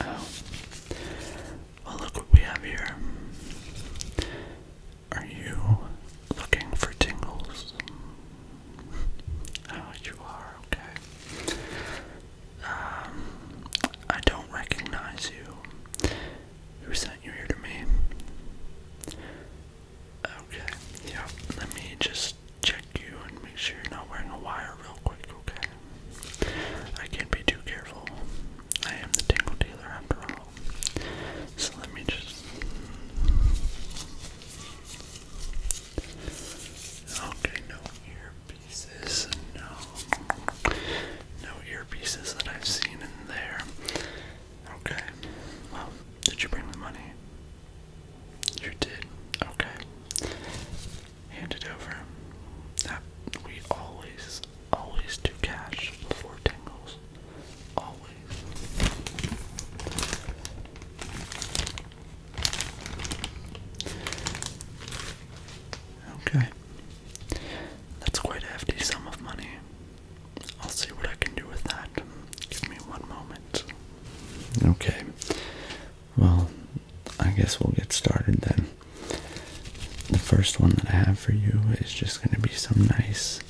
Oh. Well, look what we have here. Are you looking for tingles? Oh, you are, okay. Um, I don't recognize you. Who sent you here to me? Okay, yeah, let me just check you and make sure you're not wearing a wire real quick, okay? I can't be too careful. I am the tingle dealer after all. So let me just. Okay, no earpieces. No. No earpieces that I've seen in there. Okay. Well, did you bring the money? You did. Okay. Hand it over. That we always, always do cash before tingles. Always. Okay. That's quite a hefty sum of money. I'll see what I can do with that. Give me one moment. Okay. Well, I guess we'll get started then. The first one that I have for you is just going to be some nice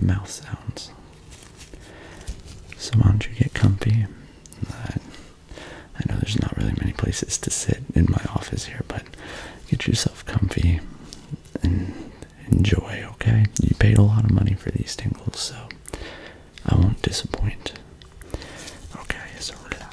mouth sounds. So, why don't you get comfy? I know there's not really many places to sit in my office here, but Get yourself comfy and enjoy, okay? You paid a lot of money for these tingles, so I won't disappoint. Okay, so relax,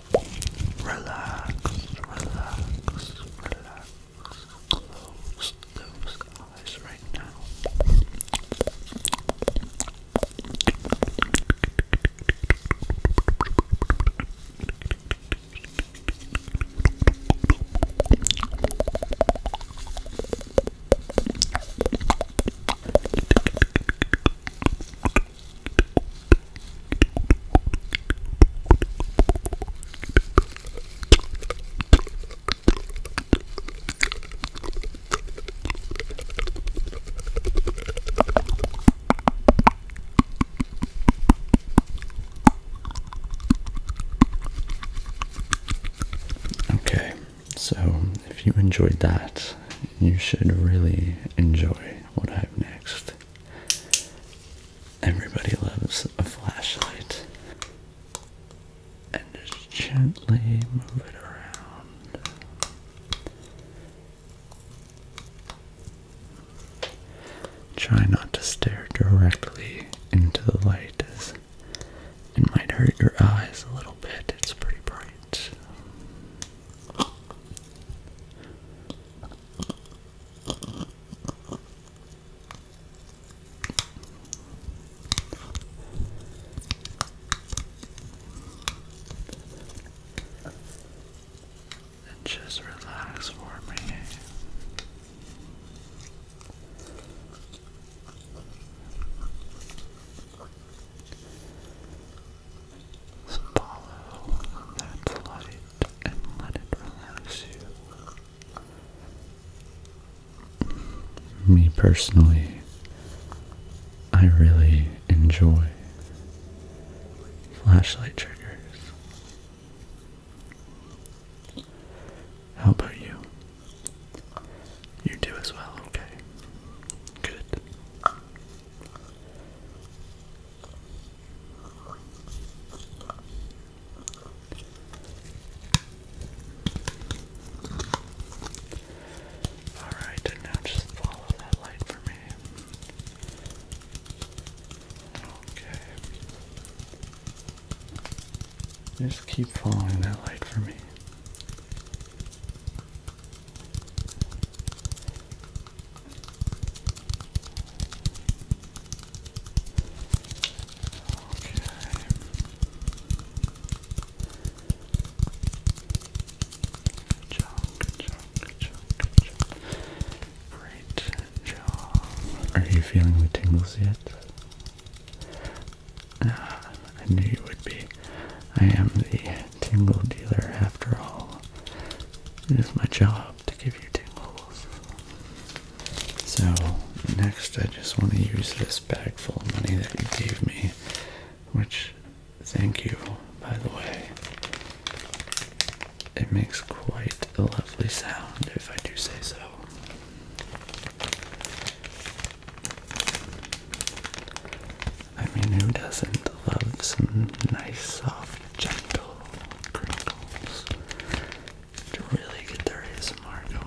Relax, relax, relax. Close those eyes right now. Okay, so if you enjoyed that, you should really enjoy what I have next. Everybody loves a flashlight. And just gently move it around. Try not to stare directly into the light as it might hurt your eyes a little bit. It's pretty bright. And just relax for me. Me personally, I really enjoy flashlight triggers. How about you? You do as well, okay? Good. Alright, and now just follow that light for me. Okay. Just keep following that light for me. Good good job, good job, good job. Great job. Are you feeling the tingles yet? Ah, I knew you would be. I am the tingle dealer after all. It is my job to give you tingles. So, next I just want to use this bag full of money that you gave me, which, thank you, by the way. It makes quite a lovely sound, if I do say so. I mean, who doesn't love some nice, soft, gentle crinkles to really get their ASMR going?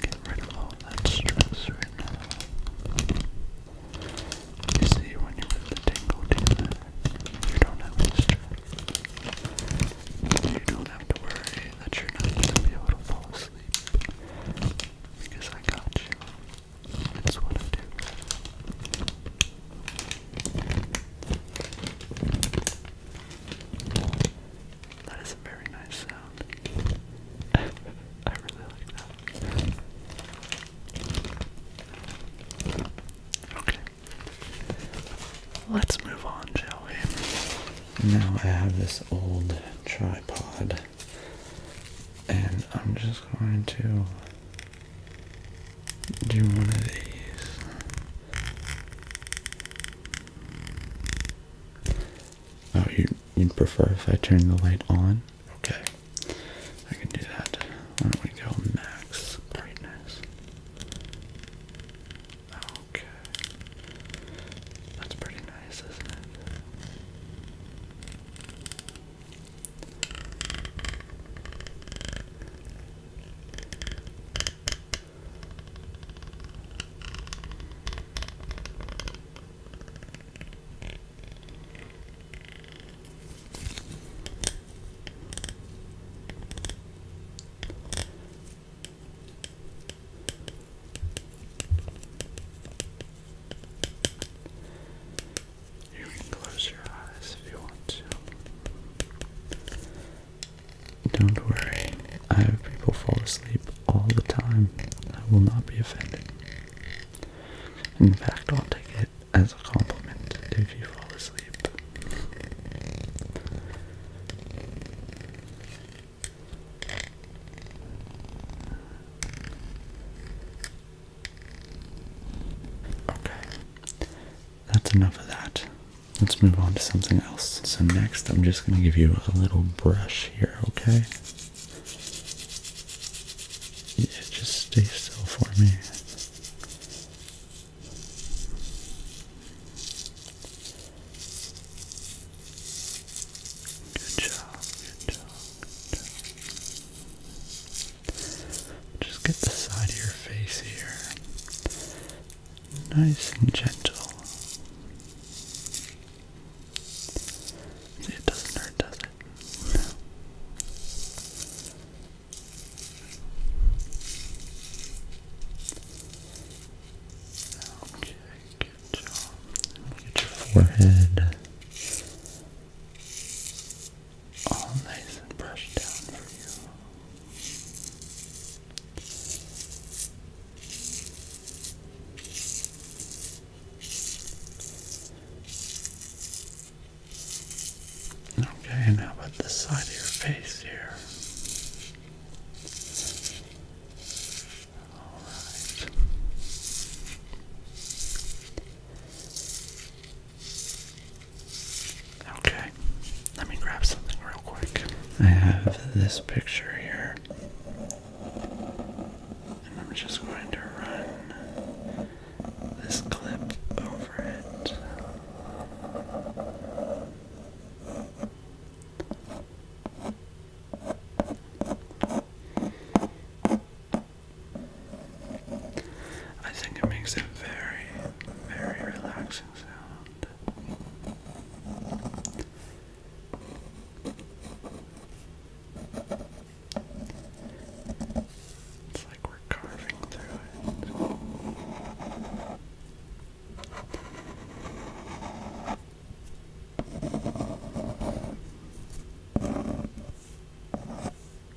Get rid of all that stress right You see, when you put the tingle together, you don't have stress. You don't have to worry that you're not going to be able to fall asleep. Because I got you. That's what I do. That is a very nice sound. I really like that. Okay. Let's move on, shall we? Now I have this old tripod, and I'm just going to do one of these. Oh, you, you'd prefer if I turn the light on? Okay. I can do that. Why don't we go max brightness? Okay. That's pretty nice, isn't it? You can close if you want to. Don't worry, I have people fall asleep all the time. I will not be offended. In fact, I'll take it as a compliment if you fall asleep. Okay, that's enough of that. Let's move on to something else. So next, I'm just going to give you a little brush here, okay? Yeah, just stay still for me. Good job, good job, just get the side of your face here. Nice and gentle. it doesn't hurt, does it? No. Okay, good job. Look your forehead all nice and brushed down for you. Okay, and how about side of your face here? All right. Okay, let me grab something real quick. I have this picture here, and I'm just going to run this clip over it. I think it makes a very, very relaxing sound. It's like we're carving through it.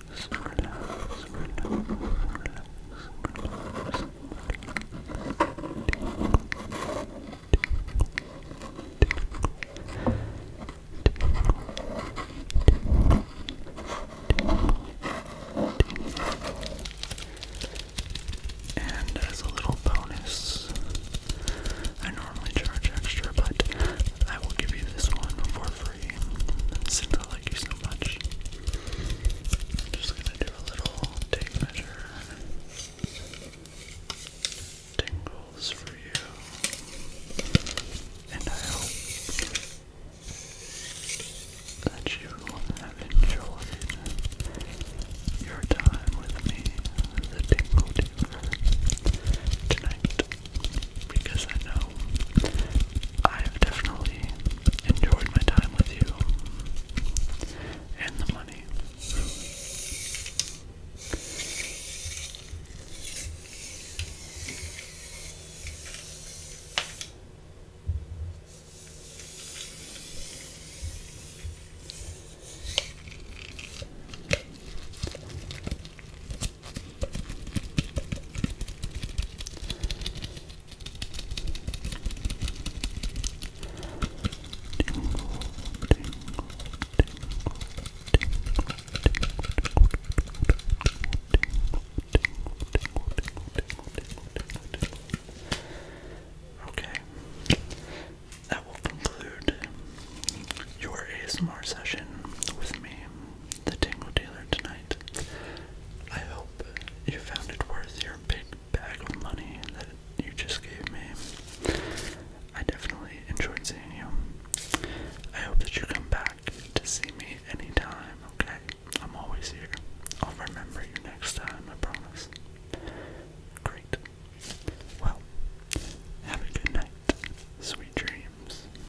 relax, relax, relax, and as a little bonus, I normally charge extra, but I will give you this one for free free since I like you so much. I'm just gonna do a little tape measure. for you. And I hope that you have enjoyed your time with me, the Tingle Dealer, tonight because I know I've definitely enjoyed my time with you and the money. Okay, that will conclude your ASMR session with me, the Tingle Dealer, tonight. I hope you found it worth your big bag of money that you just gave me. I definitely enjoyed seeing you. I hope that you come back to see me anytime, okay? I'm always here. I'll remember you next time, I promise. Great. Well, have a good night. Sweet dreams.